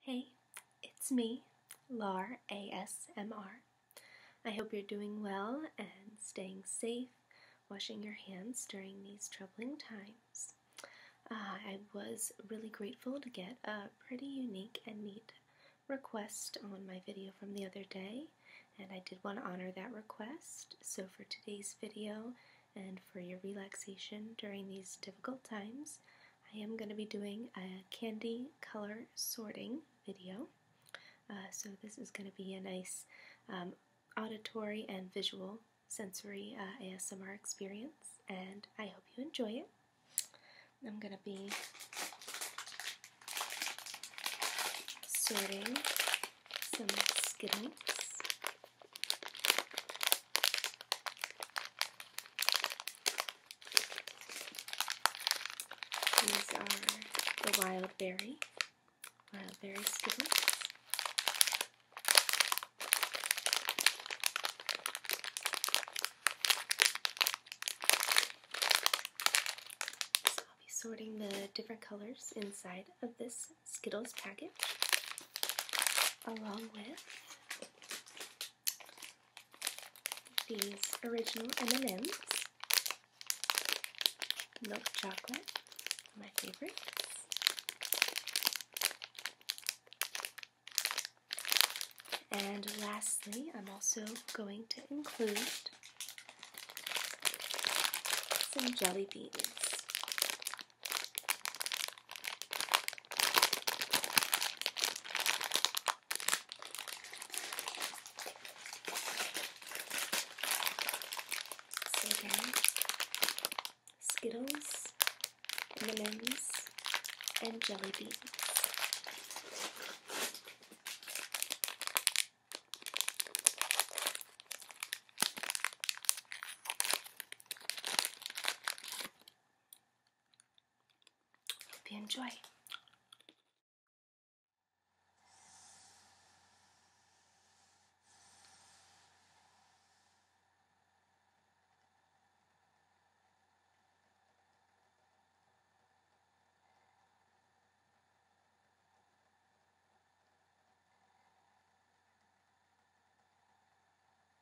Hey, it's me, LAR ASMR. I hope you're doing well and staying safe, washing your hands during these troubling times. Ah, I was really grateful to get a pretty unique and neat request on my video from the other day, and I did want to honor that request. So, for today's video and for your relaxation during these difficult times, I am going to be doing a candy color sorting video. Uh, so this is going to be a nice um, auditory and visual sensory uh, ASMR experience and I hope you enjoy it. I'm going to be sorting some Skittles. These are the wild berry, wild berry skittles. I'll be sorting the different colors inside of this Skittles package along with these original M&M's, milk chocolate, my favorites. And lastly, I'm also going to include some jelly beans. So again, Skittles, M&M's, and jelly beans. Hope you enjoy.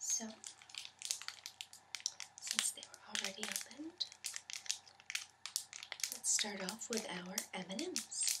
So, since they were already opened, let's start off with our M&Ms.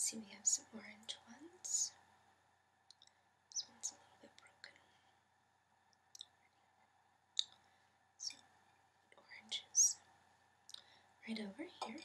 See, we have some orange ones. This one's a little bit broken. So, oranges right over here.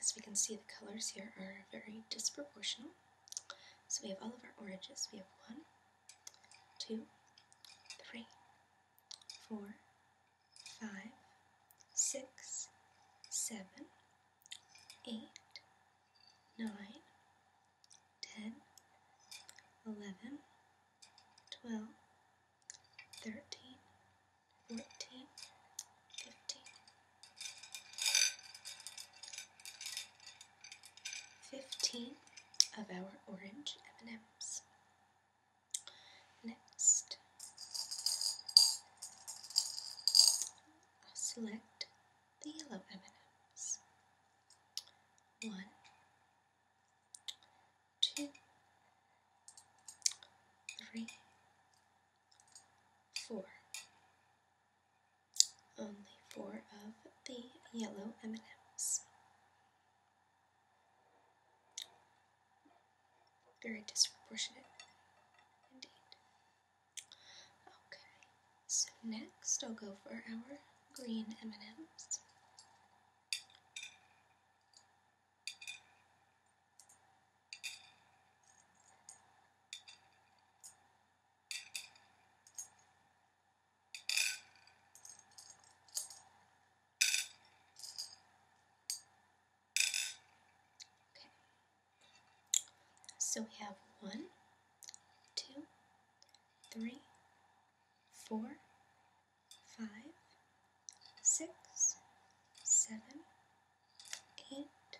As we can see, the colors here are very disproportional. So we have all of our oranges. We have one, two, three, four, five, six, seven, eight, nine, ten, eleven, twelve, thirteen, knitting, of our orange M&Ms. Next, I'll select the yellow M&Ms. One, two, three, four. Only four of the yellow M&Ms. Very disproportionate, indeed. Okay, so next I'll go for our green M&Ms. Okay. So we have one, two, three, four, five, six, seven, eight,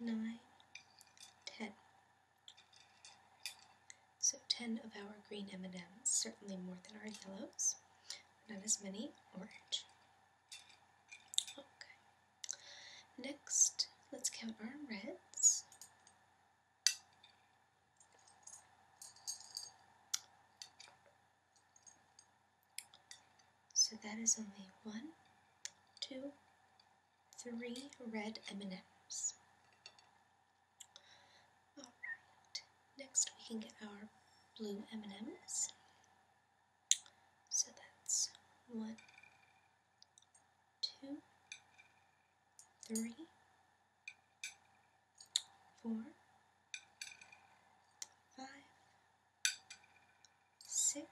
nine, ten. So ten of our green M&Ms, certainly more than our yellows, not as many orange. Okay. Next, let's count our reds. So that is only one, two, three red M&Ms. All right. Next we can get our blue M&Ms. So that's one, two, three, four, five, six,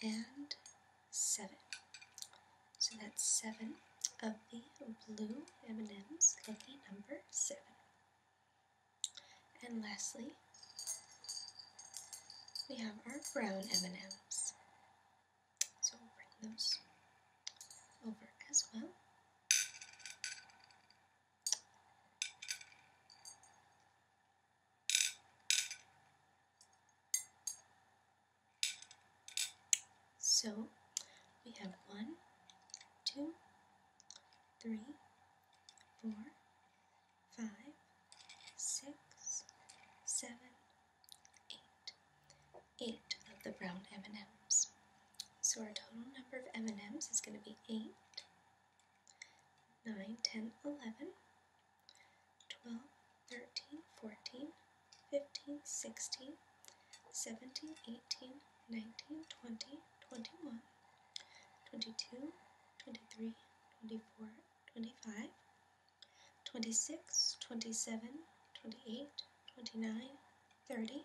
and seven. So that's seven of the blue M&M's, lucky number seven. And lastly, we have our brown M&Ms. So we'll bring those over as well. So we have one, two, three, four, five, six, seven, eight. Eight of the brown M&Ms. So our total number of M&Ms is going to be eight 9, 10, 11, 12, 13, 14, 15, 16, 17, 18, 19, 20, 21, 22, 23, 24, 25, 26, 27, 28, 29, 30,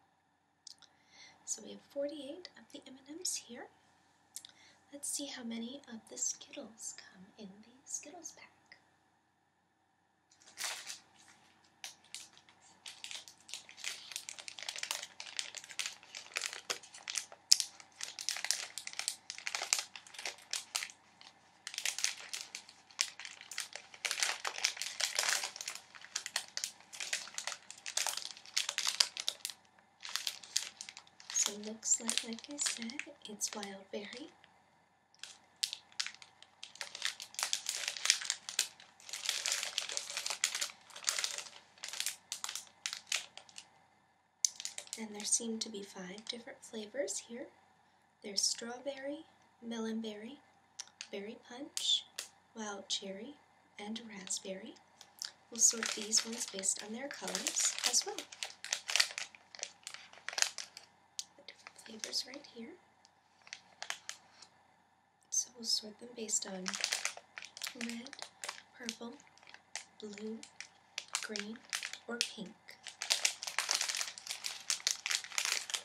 So we have 48 of the M&Ms here. Let's see how many of the Skittles come in the Skittles pack. So looks like, like I said, it's wild berry. And there seem to be five different flavors here. There's strawberry, melonberry, berry punch, wild cherry, and raspberry. We'll sort these ones based on their colors as well. different flavors right here. So we'll sort them based on red, purple, blue, green, or pink.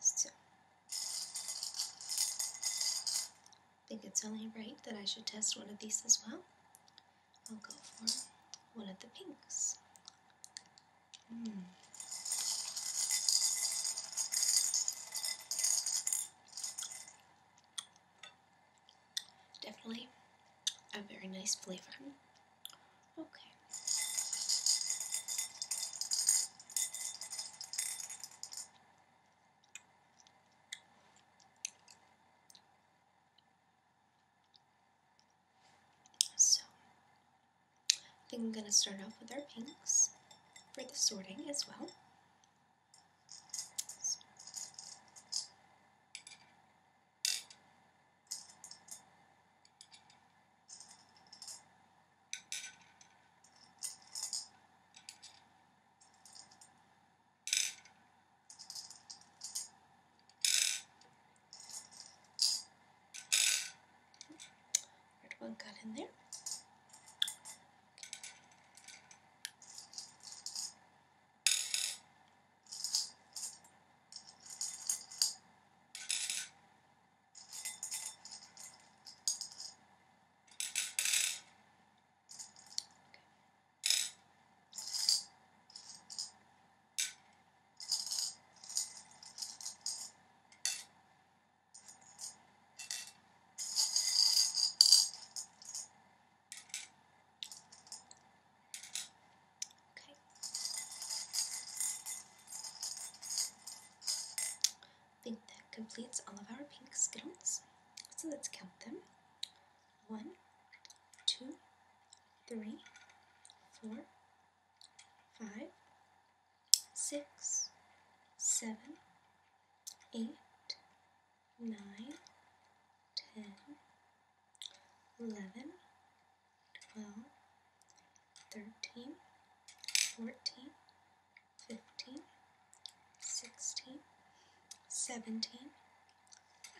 So, I think it's only right that I should test one of these as well. I'll go for one of the pinks. Definitely a very nice flavor. Okay. So I think I'm going to start off with our pinks for the sorting as well. Red one got in there. Okay. Okay. I think that completes all of our pink skittles. So let's count them. One, two, three, four, five, six, seven, eight, nine, ten, eleven, twelve, thirteen, fourteen, fifteen, sixteen, seventeen,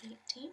eighteen.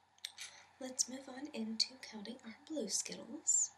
Let's move on into counting our blue Skittles.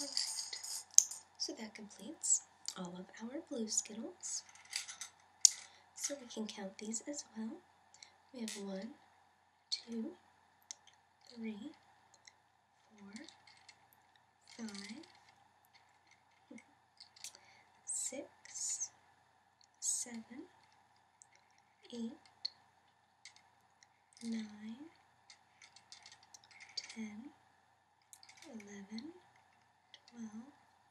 Alright, so that completes all of our blue Skittles. So we can count these as well. We have one, two, three, four, five, six, seven, eight, nine, ten, eleven, twelve,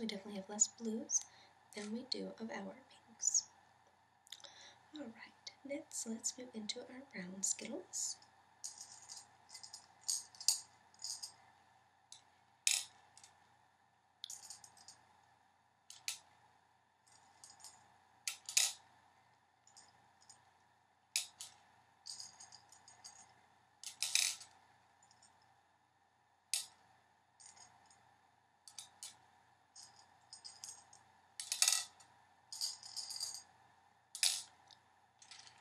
We definitely have less blues than we do of our pinks. Alright, next let's move into our brown Skittles.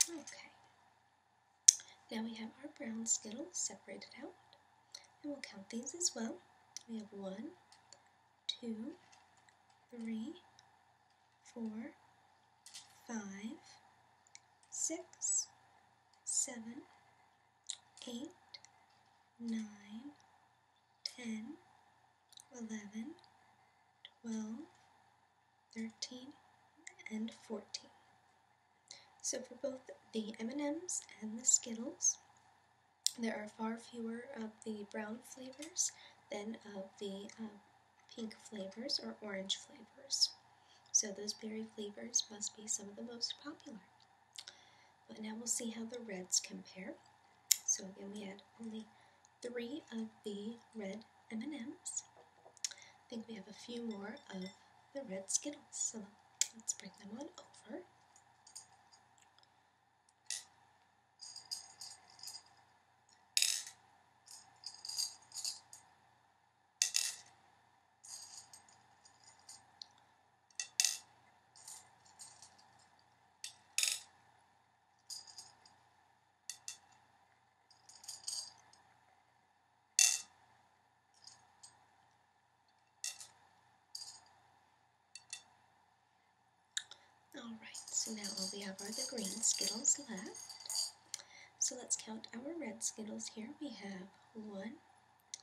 Okay. Now we have our brown Skittles separated out. And we'll count these as well. We have one, two, three, four, five, six, seven, 8, 9, 10, 11, 12, 13, and 14. So for both the M&Ms and the Skittles, there are far fewer of the brown flavors than of the um, pink flavors or orange flavors. So those berry flavors must be some of the most popular. But now we'll see how the reds compare. So again, we had only three of the red M&Ms. I think we have a few more of the red Skittles. So let's bring them on over. Alright, so now all we have are the green Skittles left. So let's count our red Skittles here. We have one,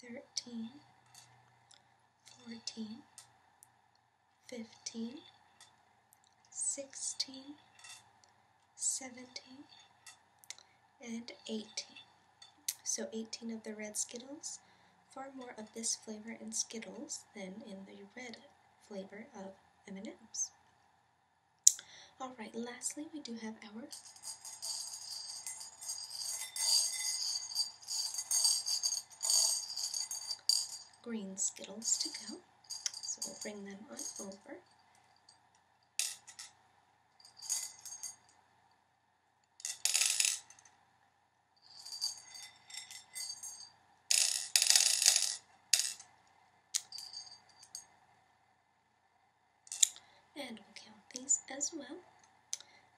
13, 14, 15, 16, 17, and 18. So 18 of the red Skittles, far more of this flavor in Skittles than in the red flavor of M&M's. All right, lastly, we do have our green Skittles to go. So we'll bring them on over. And we'll count these as well.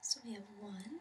So we have one,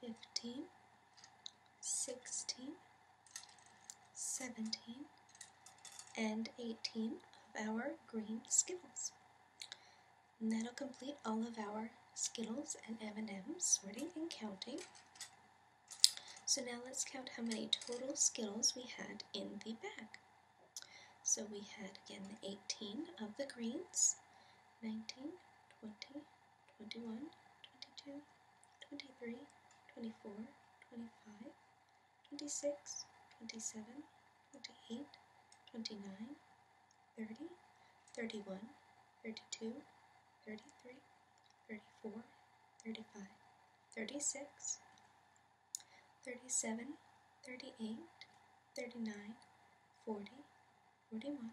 15, 16, 17, and 18 of our green Skittles. that'll complete all of our Skittles and M&M's, sorting and counting. So now let's count how many total Skittles we had in the bag. So we had, again, 18 of the greens, 19, 20, 21, 22, 23, 24, 25, 26, 27, 28, 29, 30, 31, 32, 33, 34, 35, 36, 37, 38, 39, 40, 41,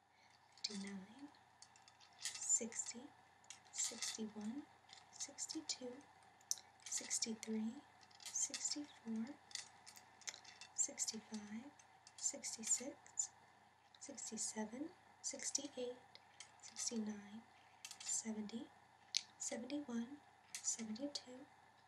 59, 60, 61, 62, 63, 64, 65, 66, 67, 68, 69, 70, 71, 72,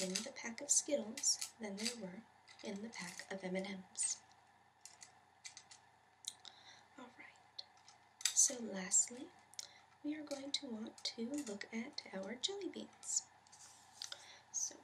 in the pack of Skittles than there were in the pack of M&Ms. Alright, so lastly, we are going to want to look at our jelly beans. So,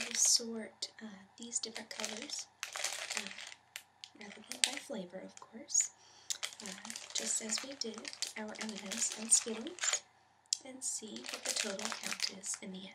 We'll sort uh, these different colors uh, rather than by flavor, of course, uh, just as we did our M&Ms and Skittles and see what the total count is in the end.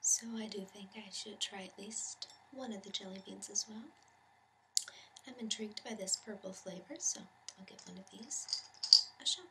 So I do think I should try at least one of the jelly beans as well. I'm intrigued by this purple flavor, so I'll give one of these a shot.